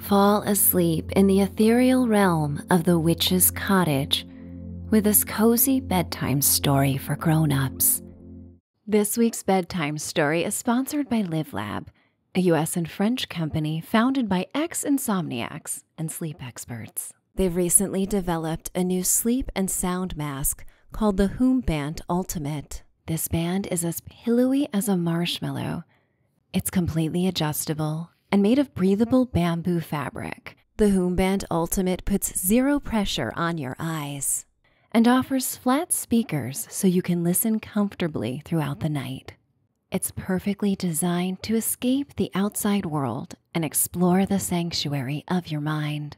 Fall asleep in the ethereal realm of the witch's cottage with this cozy bedtime story for grown-ups. This week's bedtime story is sponsored by LiveLab, a US and French company founded by ex-insomniacs and sleep experts. They've recently developed a new sleep and sound mask called the Hoombant Ultimate. This band is as pillowy as a marshmallow it's completely adjustable and made of breathable bamboo fabric. The Hoomband Ultimate puts zero pressure on your eyes and offers flat speakers so you can listen comfortably throughout the night. It's perfectly designed to escape the outside world and explore the sanctuary of your mind.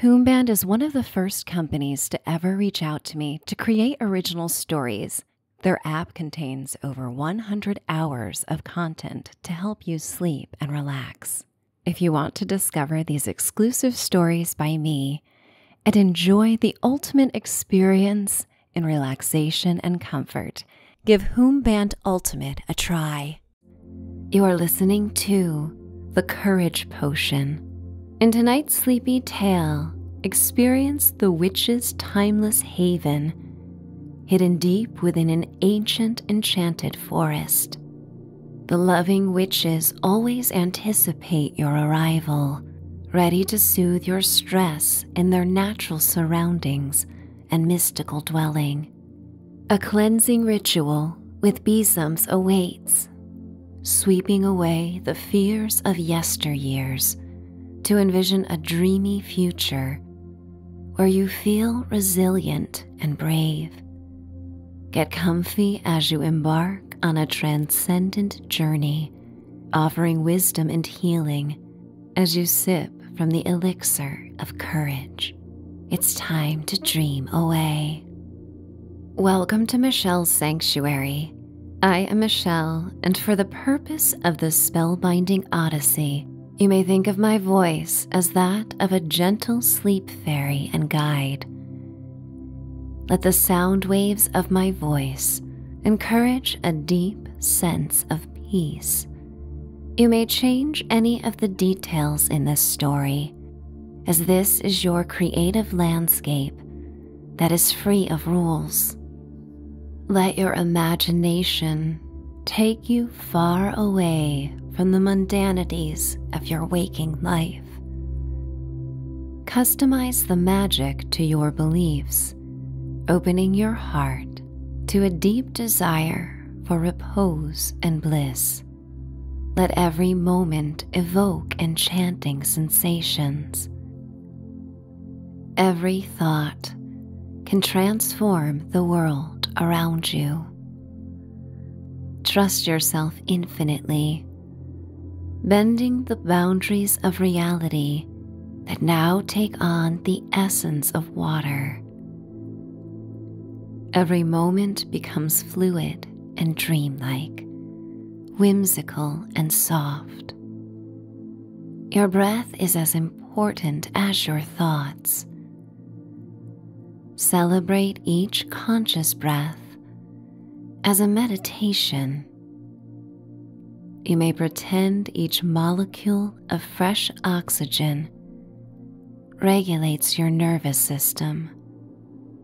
Hoomband is one of the first companies to ever reach out to me to create original stories their app contains over 100 hours of content to help you sleep and relax. If you want to discover these exclusive stories by me and enjoy the ultimate experience in relaxation and comfort, give Band Ultimate a try. You are listening to The Courage Potion in tonight's sleepy tale, experience the witch's timeless haven, hidden deep within an ancient enchanted forest. The loving witches always anticipate your arrival, ready to soothe your stress in their natural surroundings and mystical dwelling. A cleansing ritual with besoms awaits, sweeping away the fears of yesteryears to envision a dreamy future where you feel resilient and brave. Get comfy as you embark on a transcendent journey, offering wisdom and healing as you sip from the elixir of courage. It's time to dream away. Welcome to Michelle's Sanctuary I am Michelle, and for the purpose of this spellbinding odyssey, you may think of my voice as that of a gentle sleep fairy and guide. Let the sound waves of my voice encourage a deep sense of peace. You may change any of the details in this story, as this is your creative landscape that is free of rules. Let your imagination take you far away from the mundanities of your waking life. Customize the magic to your beliefs, opening your heart to a deep desire for repose and bliss. Let every moment evoke enchanting sensations. Every thought can transform the world around you. Trust yourself infinitely, bending the boundaries of reality that now take on the essence of water. Every moment becomes fluid and dreamlike, whimsical and soft. Your breath is as important as your thoughts. Celebrate each conscious breath as a meditation. You may pretend each molecule of fresh oxygen regulates your nervous system,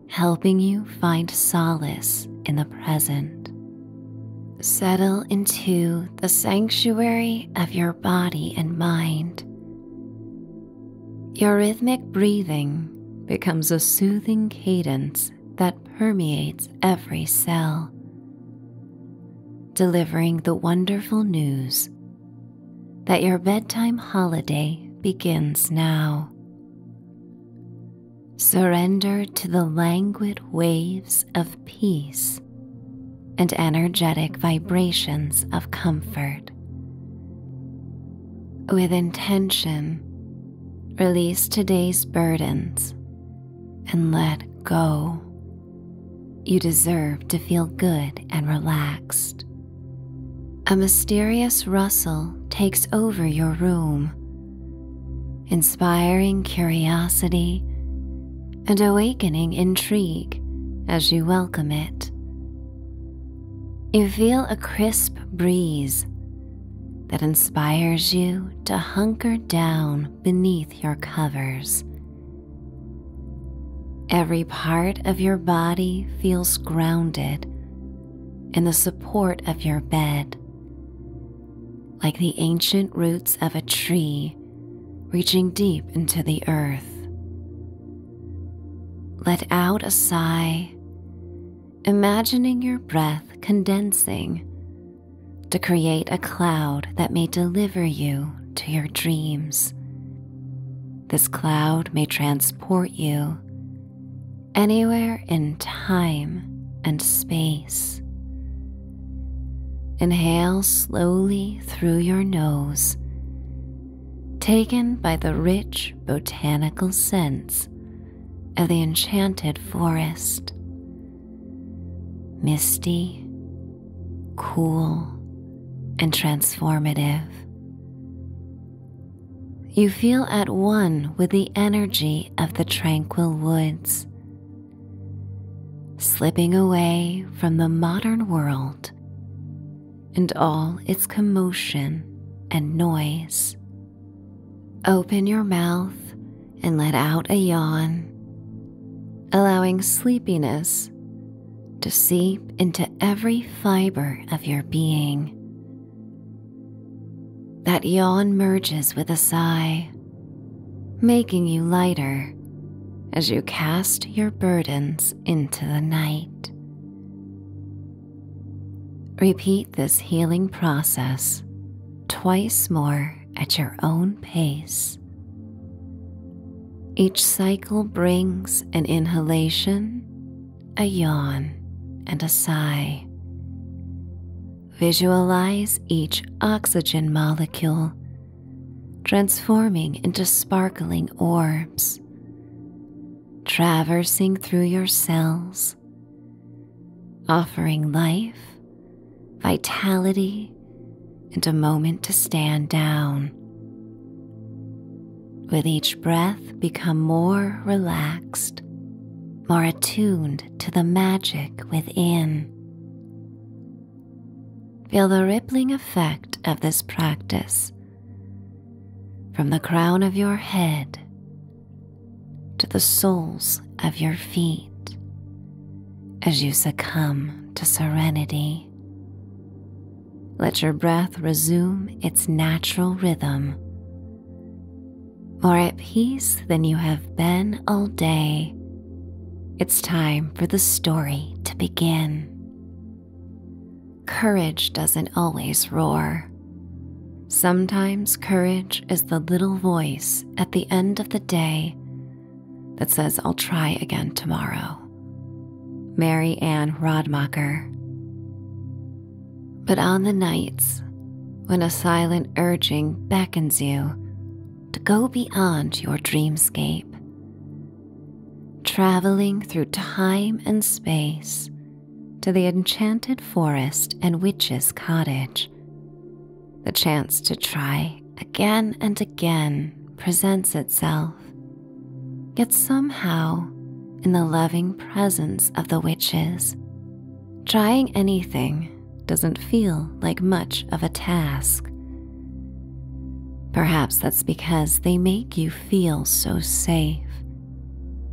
helping you find solace in the present. Settle into the sanctuary of your body and mind. Your rhythmic breathing becomes a soothing cadence that permeates every cell, delivering the wonderful news that your bedtime holiday begins now. Surrender to the languid waves of peace and energetic vibrations of comfort. With intention, release today's burdens and let go. You deserve to feel good and relaxed. A mysterious rustle takes over your room inspiring curiosity and awakening intrigue as you welcome it. You feel a crisp breeze that inspires you to hunker down beneath your covers. Every part of your body feels grounded in the support of your bed, like the ancient roots of a tree reaching deep into the earth. Let out a sigh, imagining your breath condensing to create a cloud that may deliver you to your dreams. This cloud may transport you anywhere in time and space. Inhale slowly through your nose, taken by the rich botanical scents of the enchanted forest. Misty, cool, and transformative. You feel at one with the energy of the tranquil woods slipping away from the modern world and all its commotion and noise. Open your mouth and let out a yawn, allowing sleepiness to seep into every fiber of your being. That yawn merges with a sigh, making you lighter as you cast your burdens into the night. Repeat this healing process twice more at your own pace. Each cycle brings an inhalation, a yawn, and a sigh. Visualize each oxygen molecule transforming into sparkling orbs, traversing through your cells, offering life, vitality, and a moment to stand down. With each breath, become more relaxed, more attuned to the magic within. Feel the rippling effect of this practice from the crown of your head to the soles of your feet as you succumb to serenity. Let your breath resume its natural rhythm more at peace than you have been all day. It's time for the story to begin. Courage doesn't always roar. Sometimes courage is the little voice at the end of the day that says, I'll try again tomorrow. Mary Ann Rodmacher. But on the nights when a silent urging beckons you to go beyond your dreamscape. Traveling through time and space to the enchanted forest and witch's cottage. The chance to try again and again presents itself, yet somehow, in the loving presence of the witches, Trying anything doesn't feel like much of a task. Perhaps that's because they make you feel so safe,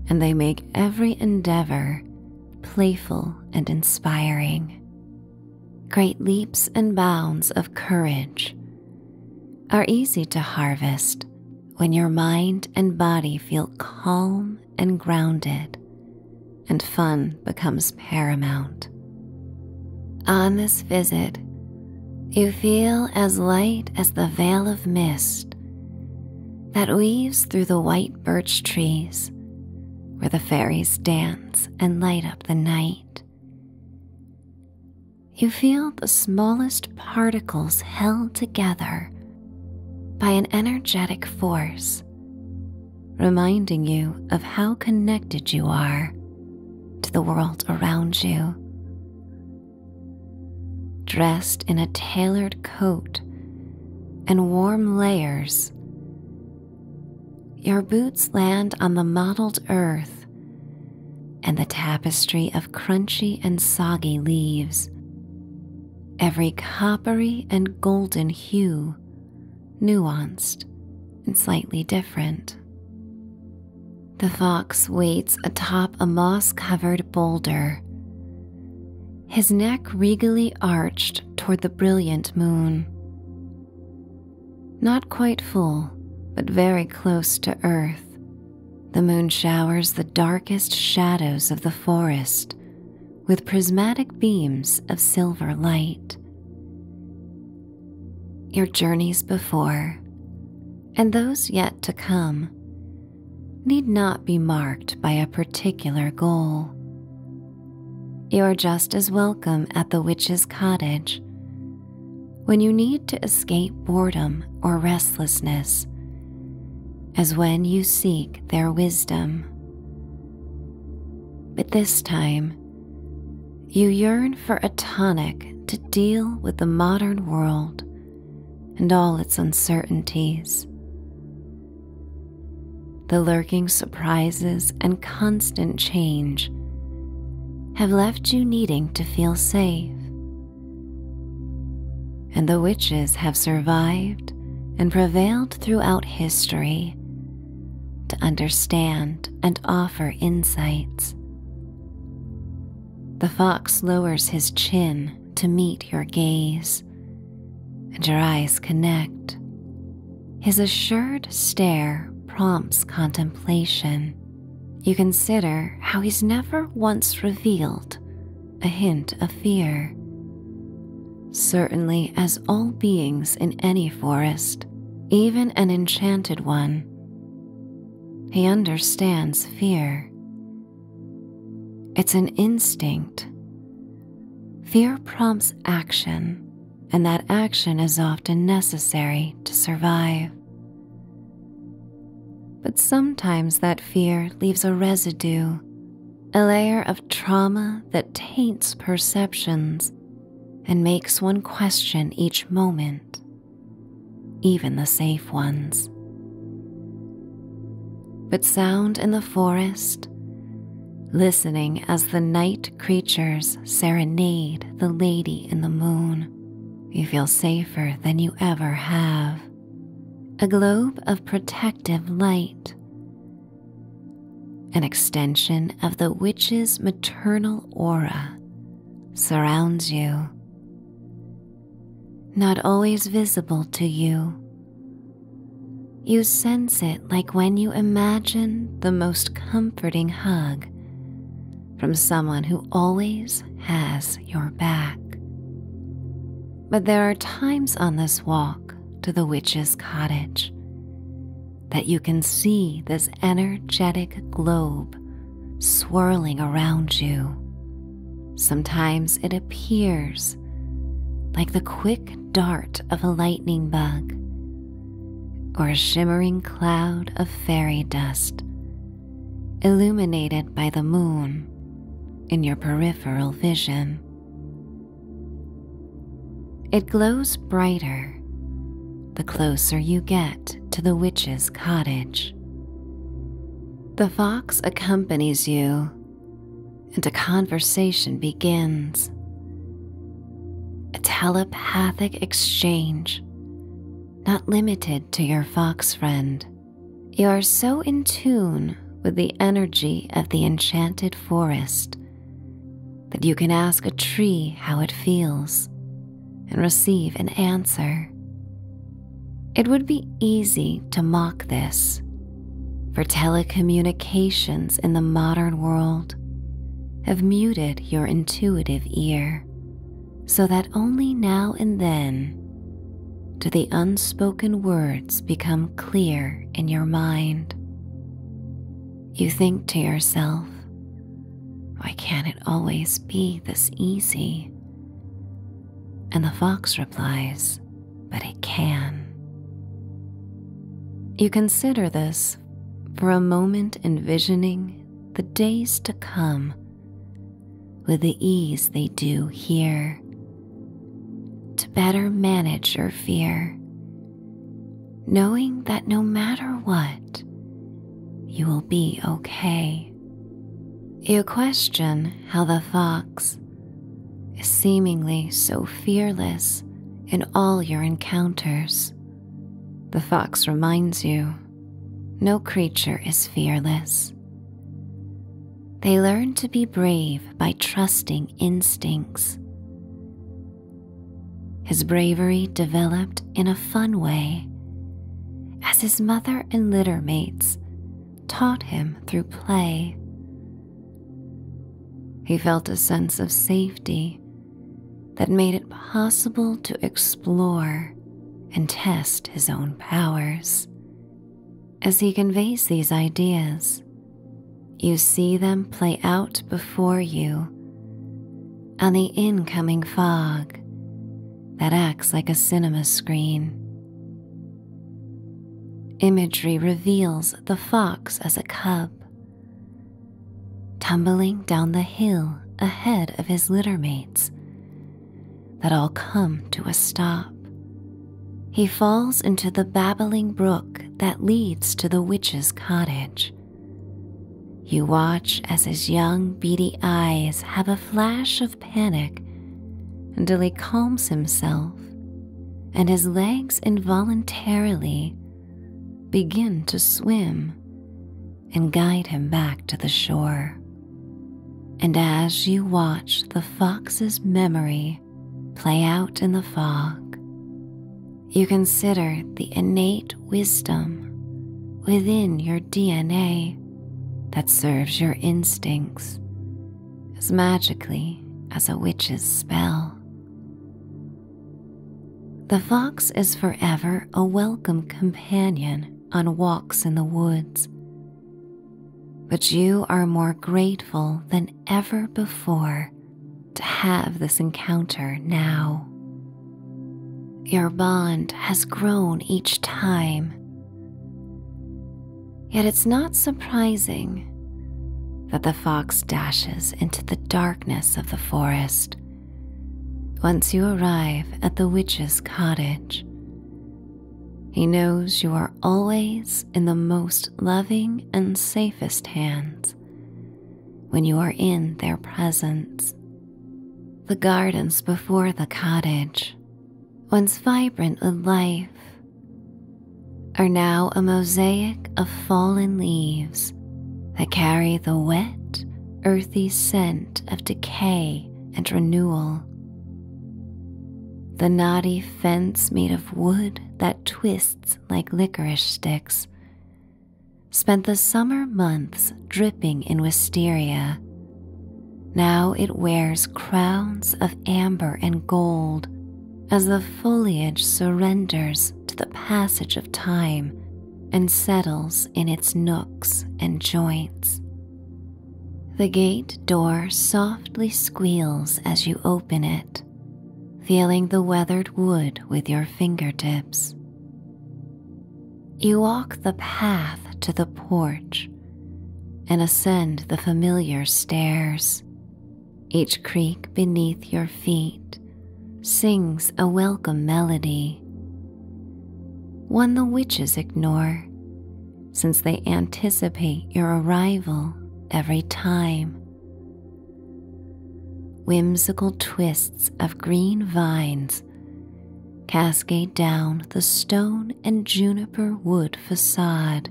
and they make every endeavor playful and inspiring. Great leaps and bounds of courage are easy to harvest when your mind and body feel calm and grounded and fun becomes paramount. On this visit, you feel as light as the veil of mist that weaves through the white birch trees where the fairies dance and light up the night. You feel the smallest particles held together by an energetic force reminding you of how connected you are to the world around you. Dressed in a tailored coat and warm layers, your boots land on the mottled earth and the tapestry of crunchy and soggy leaves, every coppery and golden hue nuanced, and slightly different. The fox waits atop a moss covered boulder, his neck regally arched toward the brilliant moon. Not quite full, but very close to earth, the moon showers the darkest shadows of the forest with prismatic beams of silver light. Your journeys before and those yet to come need not be marked by a particular goal. You are just as welcome at the witch's cottage when you need to escape boredom or restlessness as when you seek their wisdom. But this time, you yearn for a tonic to deal with the modern world and all its uncertainties. The lurking surprises and constant change have left you needing to feel safe. And the witches have survived and prevailed throughout history to understand and offer insights. The fox lowers his chin to meet your gaze, and your eyes connect. His assured stare prompts contemplation. You consider how he's never once revealed a hint of fear certainly as all beings in any forest, even an enchanted one. He understands fear. It's an instinct. Fear prompts action, and that action is often necessary to survive. But sometimes that fear leaves a residue, a layer of trauma that taints perceptions and makes one question each moment, even the safe ones. But sound in the forest, listening as the night creatures serenade the lady in the moon, you feel safer than you ever have. A globe of protective light an extension of the witch's maternal aura surrounds you, not always visible to you. You sense it like when you imagine the most comforting hug from someone who always has your back. But there are times on this walk to the witch's cottage that you can see this energetic globe swirling around you. Sometimes it appears like the quick dart of a lightning bug or a shimmering cloud of fairy dust illuminated by the moon in your peripheral vision. It glows brighter the closer you get to the witch's cottage. The fox accompanies you, and a conversation begins. A telepathic exchange, not limited to your fox friend. You are so in tune with the energy of the enchanted forest that you can ask a tree how it feels and receive an answer. It would be easy to mock this, for telecommunications in the modern world have muted your intuitive ear so that only now and then do the unspoken words become clear in your mind. You think to yourself, why can't it always be this easy? And the fox replies, but it can. You consider this for a moment, envisioning the days to come with the ease they do here to better manage your fear knowing that no matter what, you will be okay. You question how the fox is seemingly so fearless in all your encounters. The fox reminds you no creature is fearless. They learn to be brave by trusting instincts. His bravery developed in a fun way as his mother and litter mates taught him through play. He felt a sense of safety that made it possible to explore and test his own powers. As he conveys these ideas, you see them play out before you on the incoming fog that acts like a cinema screen. Imagery reveals the fox as a cub, tumbling down the hill ahead of his littermates that all come to a stop. He falls into the babbling brook that leads to the witch's cottage. You watch as his young, beady eyes have a flash of panic until he calms himself and his legs involuntarily begin to swim and guide him back to the shore. And as you watch the fox's memory play out in the fog, you consider the innate wisdom within your DNA that serves your instincts as magically as a witch's spell. The fox is forever a welcome companion on walks in the woods, but you are more grateful than ever before to have this encounter now. Your bond has grown each time. Yet it's not surprising that the fox dashes into the darkness of the forest once you arrive at the witch's cottage. He knows you are always in the most loving and safest hands, when you are in their presence. The gardens before the cottage, once vibrant with life, are now a mosaic of fallen leaves that carry the wet, earthy scent of decay and renewal. The knotty fence made of wood that twists like licorice sticks spent the summer months dripping in wisteria. Now it wears crowns of amber and gold as the foliage surrenders to the passage of time and settles in its nooks and joints. The gate door softly squeals as you open it, feeling the weathered wood with your fingertips. You walk the path to the porch and ascend the familiar stairs. Each creak beneath your feet sings a welcome melody, one the witches ignore since they anticipate your arrival every time Whimsical twists of green vines cascade down the stone and juniper wood facade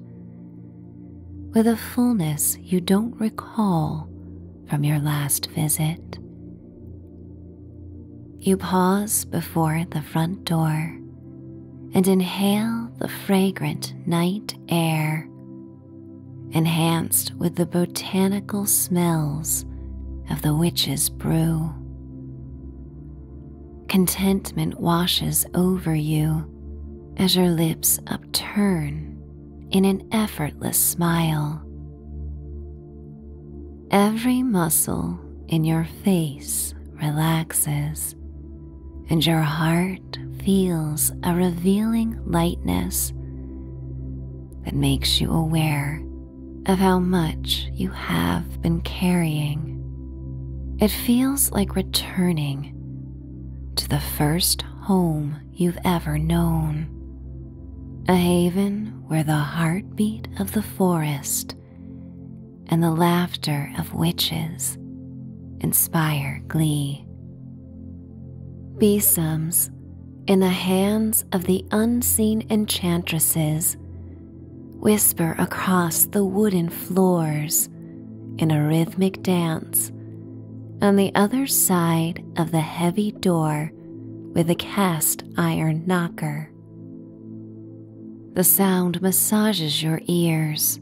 with a fullness you don't recall from your last visit. You pause before the front door and inhale the fragrant night air enhanced with the botanical smells of the witch's brew. Contentment washes over you as your lips upturn in an effortless smile. Every muscle in your face relaxes, and your heart feels a revealing lightness that makes you aware of how much you have been carrying. It feels like returning to the first home you've ever known. A haven where the heartbeat of the forest and the laughter of witches inspire glee. Besoms in the hands of the unseen enchantresses whisper across the wooden floors in a rhythmic dance on the other side of the heavy door with a cast iron knocker. The sound massages your ears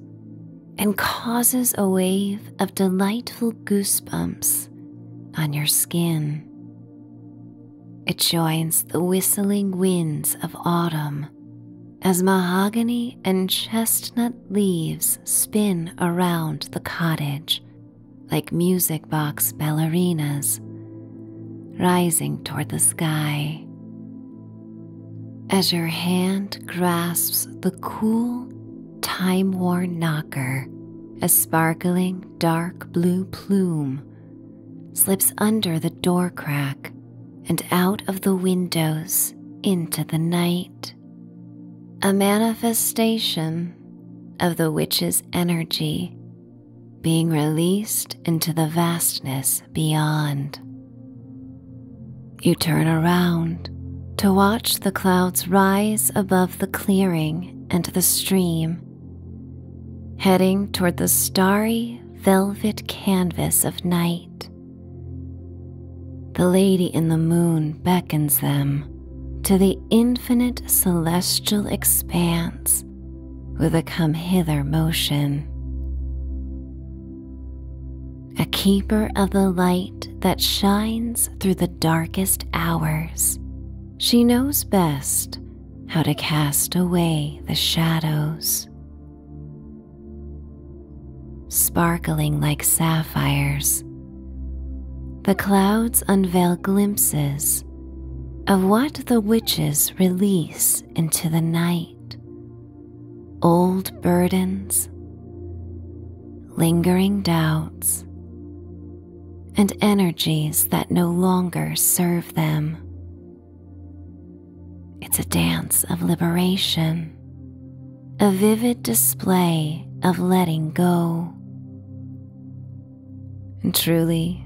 and causes a wave of delightful goosebumps on your skin. It joins the whistling winds of autumn as mahogany and chestnut leaves spin around the cottage like music box ballerinas, rising toward the sky. As your hand grasps the cool, time worn knocker, a sparkling dark blue plume slips under the door crack and out of the windows into the night. A manifestation of the witch's energy being released into the vastness beyond. You turn around to watch the clouds rise above the clearing and the stream heading toward the starry velvet canvas of night. The lady in the moon beckons them to the infinite celestial expanse with a come hither motion. A keeper of the light that shines through the darkest hours she knows best how to cast away the shadows. Sparkling like sapphires, the clouds unveil glimpses of what the witches release into the night old burdens, lingering doubts, and energies that no longer serve them. It's a dance of liberation, a vivid display of letting go. And truly,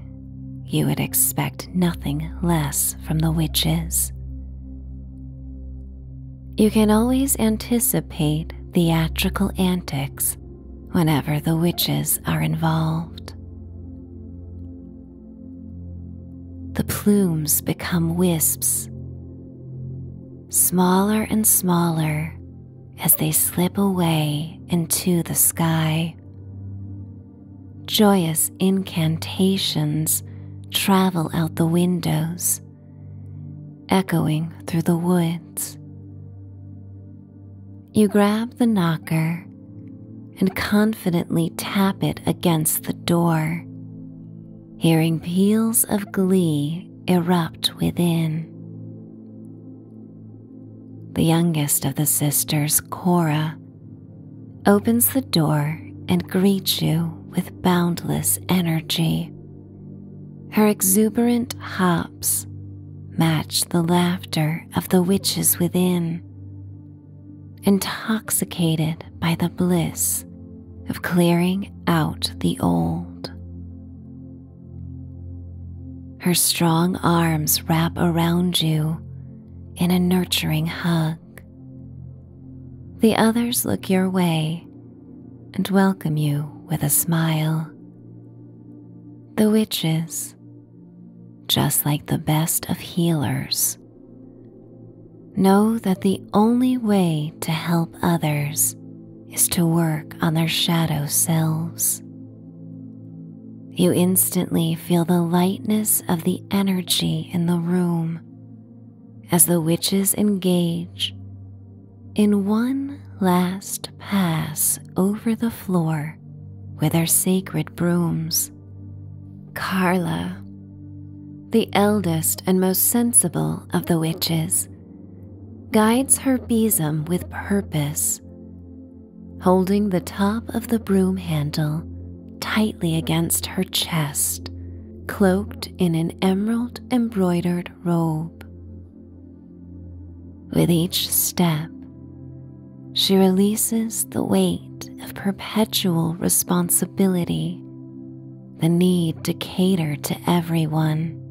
you would expect nothing less from the witches. You can always anticipate theatrical antics whenever the witches are involved. The plumes become wisps, smaller and smaller as they slip away into the sky. Joyous incantations travel out the windows, echoing through the woods. You grab the knocker and confidently tap it against the door, hearing peals of glee erupt within. The youngest of the sisters, Cora, opens the door and greets you with boundless energy. Her exuberant heart match the laughter of the witches within, intoxicated by the bliss of clearing out the old. Her strong arms wrap around you in a nurturing hug. The others look your way and welcome you with a smile. The witches just like the best of healers. Know that the only way to help others is to work on their shadow selves. You instantly feel the lightness of the energy in the room as the witches engage in one last pass over the floor with her sacred brooms. Carla, the eldest and most sensible of the witches, guides her besom with purpose, holding the top of the broom handle tightly against her chest, cloaked in an emerald embroidered robe. With each step, she releases the weight of perpetual responsibility, the need to cater to everyone,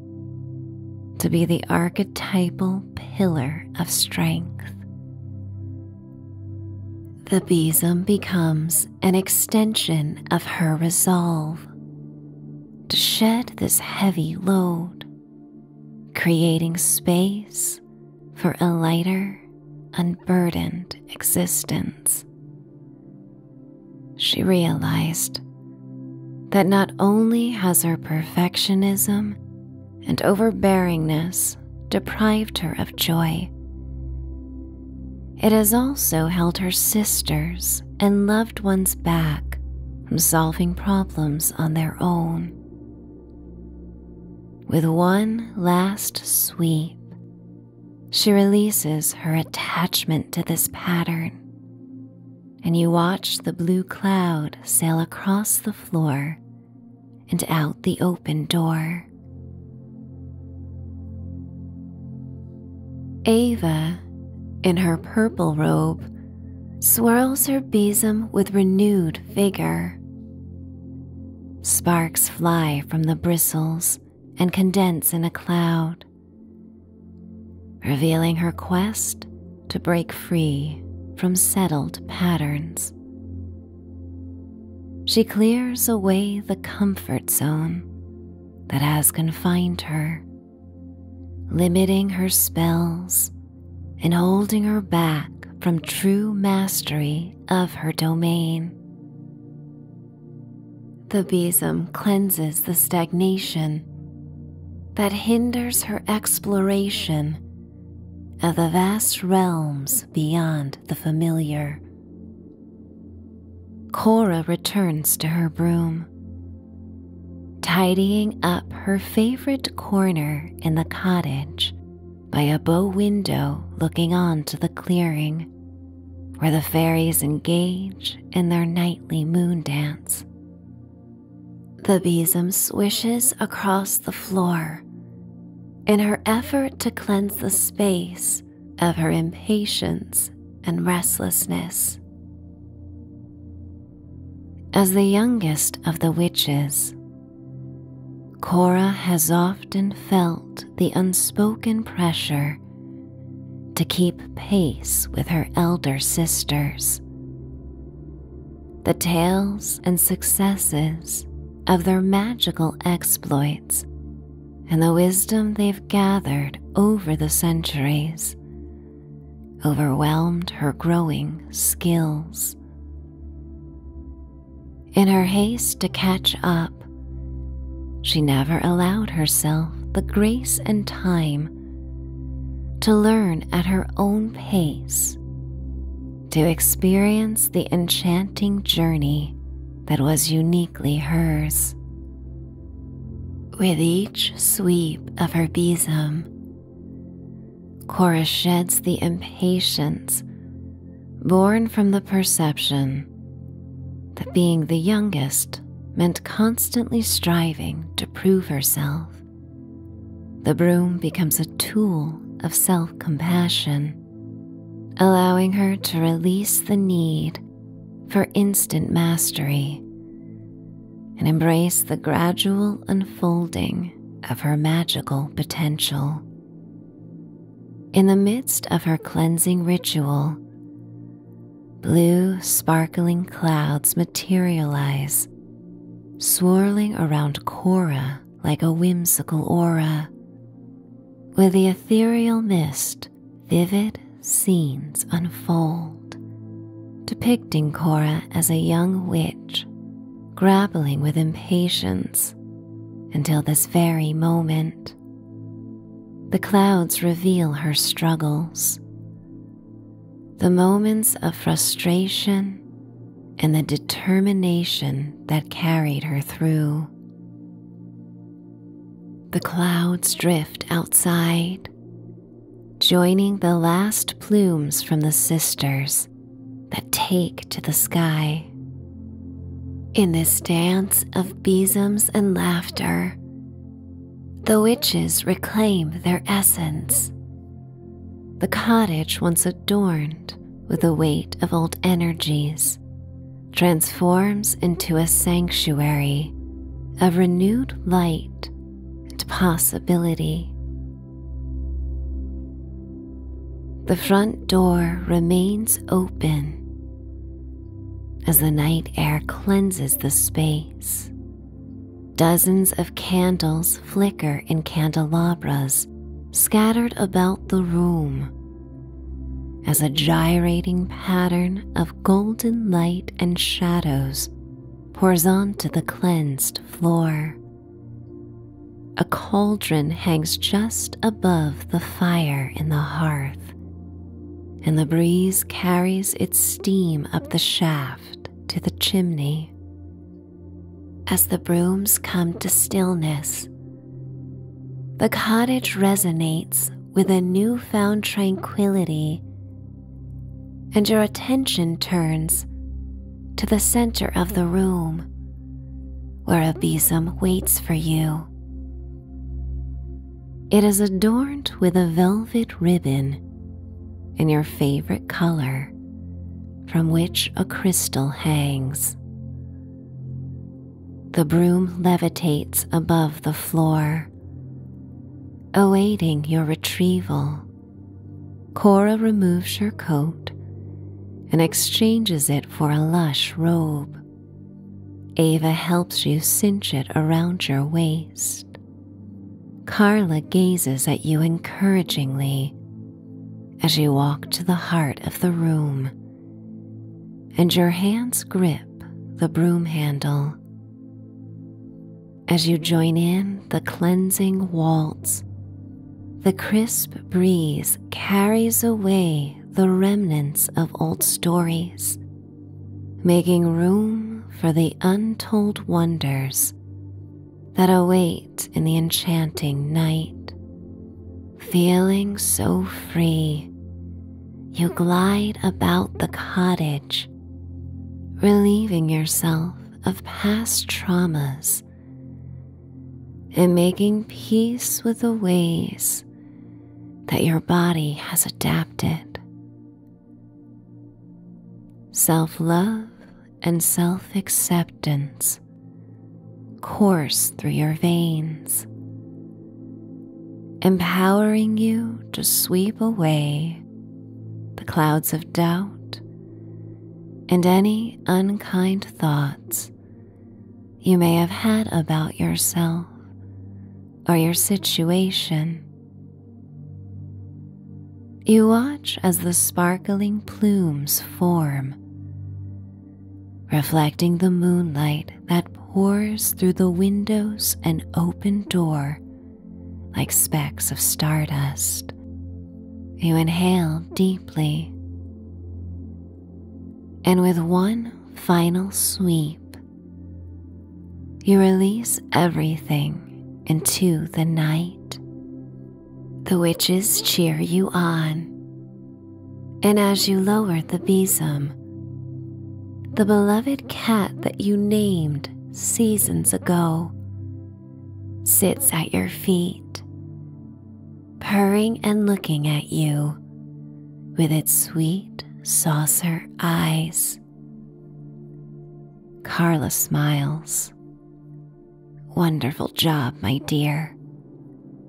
to be the archetypal pillar of strength. The besom becomes an extension of her resolve to shed this heavy load creating space for a lighter, unburdened existence. She realized that not only has her perfectionism and overbearingness deprived her of joy, it has also held her sisters and loved ones back from solving problems on their own. With one last sweep, she releases her attachment to this pattern, and you watch the blue cloud sail across the floor and out the open door. Ava, in her purple robe, swirls her besom with renewed vigor. Sparks fly from the bristles and condense in a cloud, revealing her quest to break free from settled patterns. She clears away the comfort zone that has confined her, limiting her spells and holding her back from true mastery of her domain. The besom cleanses the stagnation that hinders her exploration of the vast realms beyond the familiar. Cora returns to her broom tidying up her favorite corner in the cottage by a bow window looking on to the clearing where the fairies engage in their nightly moon dance. The besom swishes across the floor in her effort to cleanse the space of her impatience and restlessness. As the youngest of the witches, Cora has often felt the unspoken pressure to keep pace with her elder sisters. The tales and successes of their magical exploits and the wisdom they've gathered over the centuries overwhelmed her growing skills. In her haste to catch up, she never allowed herself the grace and time to learn at her own pace, to experience the enchanting journey that was uniquely hers. With each sweep of her besom, Cora sheds the impatience born from the perception that being the youngest meant constantly striving to prove herself. The broom becomes a tool of self compassion, allowing her to release the need for instant mastery and embrace the gradual unfolding of her magical potential. In the midst of her cleansing ritual, blue sparkling clouds materialize, swirling around Cora like a whimsical aura, Where the ethereal mist vivid scenes unfold, depicting Cora as a young witch grappling with impatience until this very moment. The clouds reveal her struggles. The moments of frustration and the determination that carried her through. The clouds drift outside, joining the last plumes from the sisters that take to the sky. In this dance of besoms and laughter, the witches reclaim their essence. The cottage, once adorned with the weight of old energies, transforms into a sanctuary of renewed light and possibility. The front door remains open as the night air cleanses the space. Dozens of candles flicker in candelabras scattered about the room as a gyrating pattern of golden light and shadows pours onto the cleansed floor. A cauldron hangs just above the fire in the hearth, and the breeze carries its steam up the shaft to the chimney. As the brooms come to stillness, the cottage resonates with a newfound tranquility, and your attention turns to the center of the room, where a besom waits for you. It is adorned with a velvet ribbon in your favorite color, from which a crystal hangs. The broom levitates above the floor, awaiting your retrieval Cora removes her coat and exchanges it for a lush robe. Ava helps you cinch it around your waist. Carla gazes at you encouragingly as you walk to the heart of the room, and your hands grip the broom handle. As you join in the cleansing waltz the crisp breeze carries away the remnants of old stories, making room for the untold wonders that await in the enchanting night. Feeling so free, you glide about the cottage, relieving yourself of past traumas and making peace with the ways that your body has adapted. Self love and self acceptance course through your veins, empowering you to sweep away the clouds of doubt and any unkind thoughts you may have had about yourself or your situation. You watch as the sparkling plumes form, reflecting the moonlight that pours through the windows and open door like specks of stardust. You inhale deeply, and with one final sweep, you release everything into the night. The witches cheer you on, and as you lower the besom, the beloved cat that you named seasons ago sits at your feet purring and looking at you with its sweet saucer eyes. Carla smiles. Wonderful job, my dear.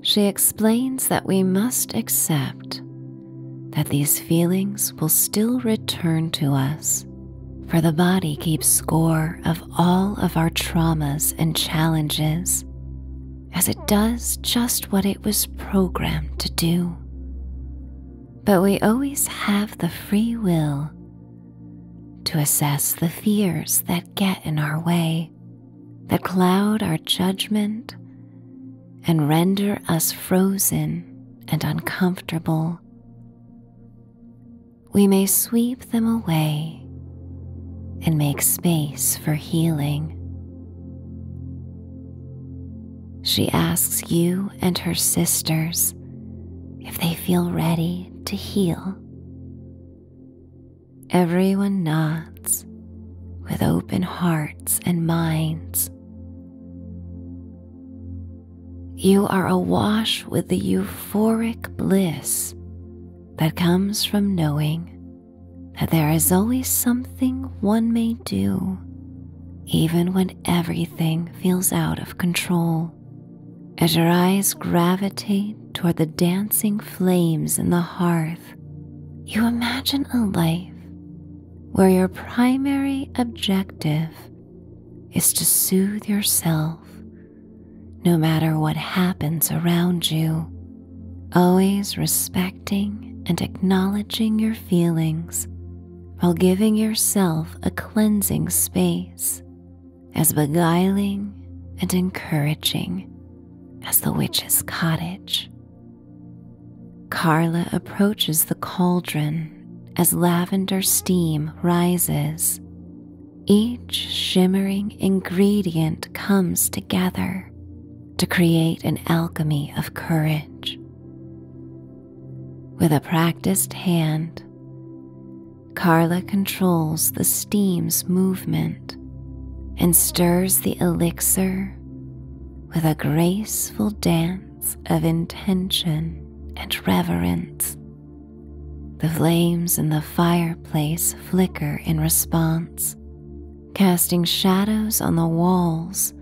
She explains that we must accept that these feelings will still return to us, for the body keeps score of all of our traumas and challenges, as it does just what it was programmed to do. But we always have the free will to assess the fears that get in our way, that cloud our judgment, and render us frozen and uncomfortable we may sweep them away and make space for healing. She asks you and her sisters if they feel ready to heal. Everyone nods with open hearts and minds. You are awash with the euphoric bliss that comes from knowing that there is always something one may do, even when everything feels out of control. As your eyes gravitate toward the dancing flames in the hearth, you imagine a life where your primary objective is to soothe yourself no matter what happens around you, always respecting and acknowledging your feelings while giving yourself a cleansing space as beguiling and encouraging as the witch's cottage. Carla approaches the cauldron as lavender steam rises, each shimmering ingredient comes together to create an alchemy of courage. With a practiced hand, Carla controls the steam's movement and stirs the elixir with a graceful dance of intention and reverence. The flames in the fireplace flicker in response, casting shadows on the walls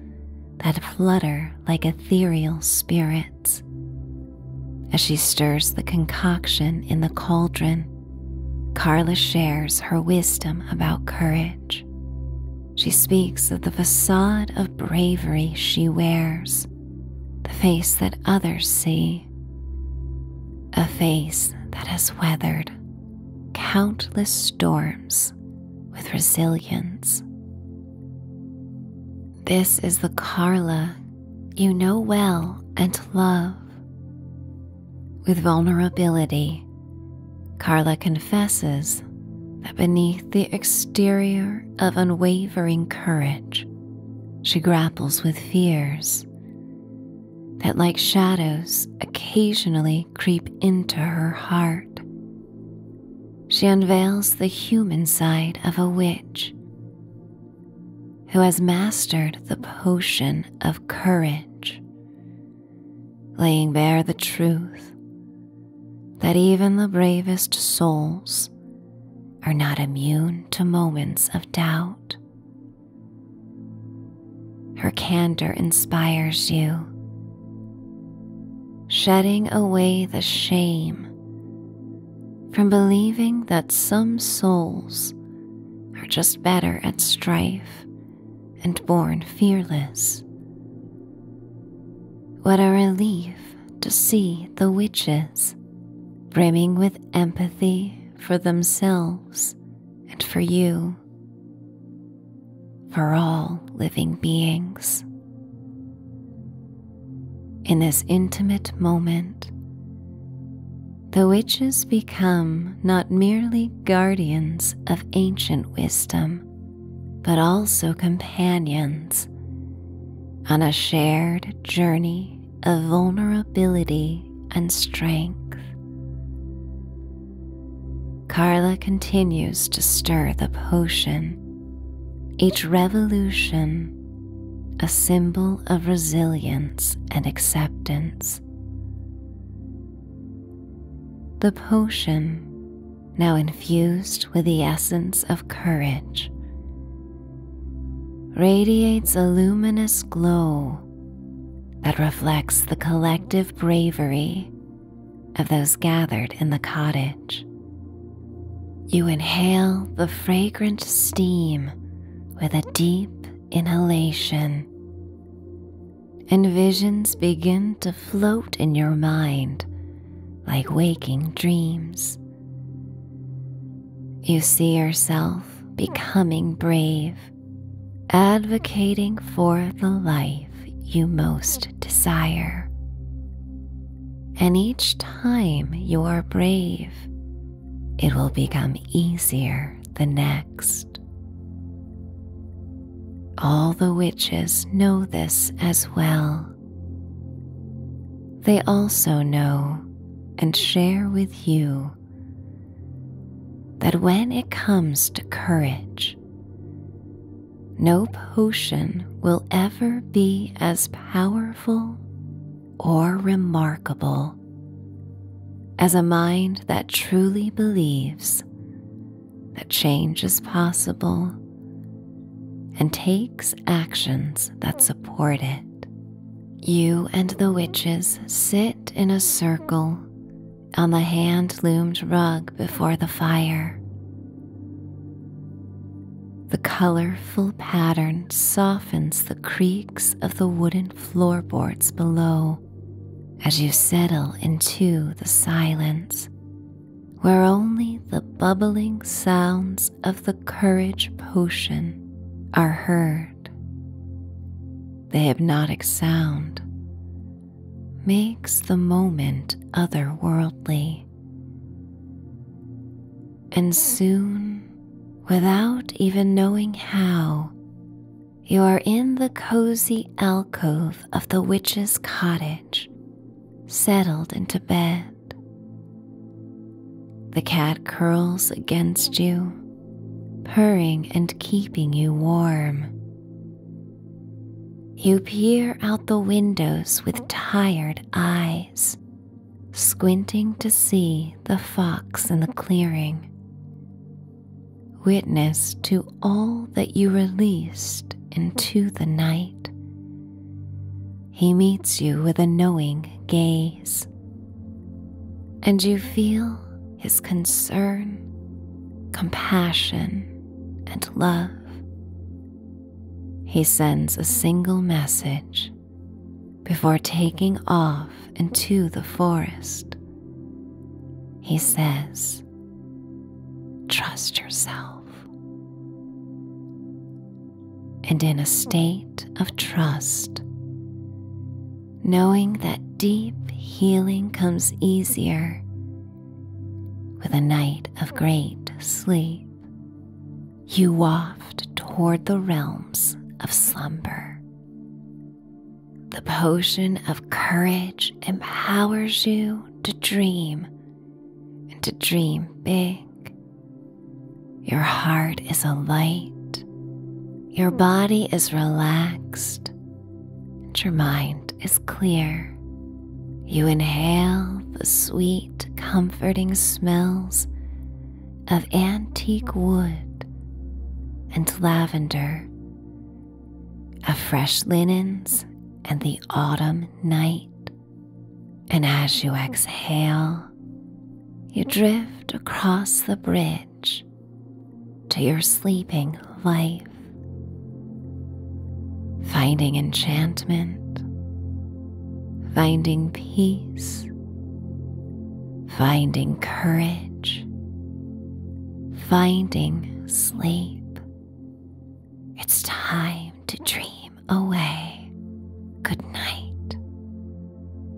that flutter like ethereal spirits. As she stirs the concoction in the cauldron, Carla shares her wisdom about courage. She speaks of the facade of bravery she wears, the face that others see, a face that has weathered countless storms with resilience. This is the Carla you know well and love. With vulnerability, Carla confesses that beneath the exterior of unwavering courage, she grapples with fears that, like shadows, occasionally creep into her heart. She unveils the human side of a witch who has mastered the potion of courage, laying bare the truth that even the bravest souls are not immune to moments of doubt her candor inspires you, shedding away the shame from believing that some souls are just better at strife and born fearless. What a relief to see the witches brimming with empathy for themselves and for you, for all living beings. In this intimate moment, the witches become not merely guardians of ancient wisdom, but also companions on a shared journey of vulnerability and strength. Carla continues to stir the potion, each revolution a symbol of resilience and acceptance. The potion, now infused with the essence of courage, radiates a luminous glow that reflects the collective bravery of those gathered in the cottage. You inhale the fragrant steam with a deep inhalation, and visions begin to float in your mind like waking dreams. You see yourself becoming brave advocating for the life you most desire. And each time you are brave, it will become easier the next. All the witches know this as well. They also know and share with you that when it comes to courage, no potion will ever be as powerful or remarkable as a mind that truly believes that change is possible and takes actions that support it. You and the witches sit in a circle on the hand loomed rug before the fire. The colorful pattern softens the creaks of the wooden floorboards below as you settle into the silence where only the bubbling sounds of the courage potion are heard. The hypnotic sound makes the moment otherworldly. And soon, without even knowing how, you are in the cozy alcove of the witch's cottage, settled into bed. The cat curls against you purring and keeping you warm. You peer out the windows with tired eyes, squinting to see the fox in the clearing. Witness to all that you released into the night. He meets you with a knowing gaze, and you feel his concern, compassion, and love. He sends a single message before taking off into the forest. He says, Trust yourself. And in a state of trust, knowing that deep healing comes easier with a night of great sleep. You waft toward the realms of slumber. The potion of courage empowers you to dream and to dream big. Your heart is a light. Your body is relaxed and your mind is clear. You inhale the sweet, comforting smells of antique wood and lavender, of fresh linens and the autumn night. And as you exhale, you drift across the bridge to your sleeping life. Finding enchantment, finding peace, finding courage, finding sleep. It's time to dream away. Good night.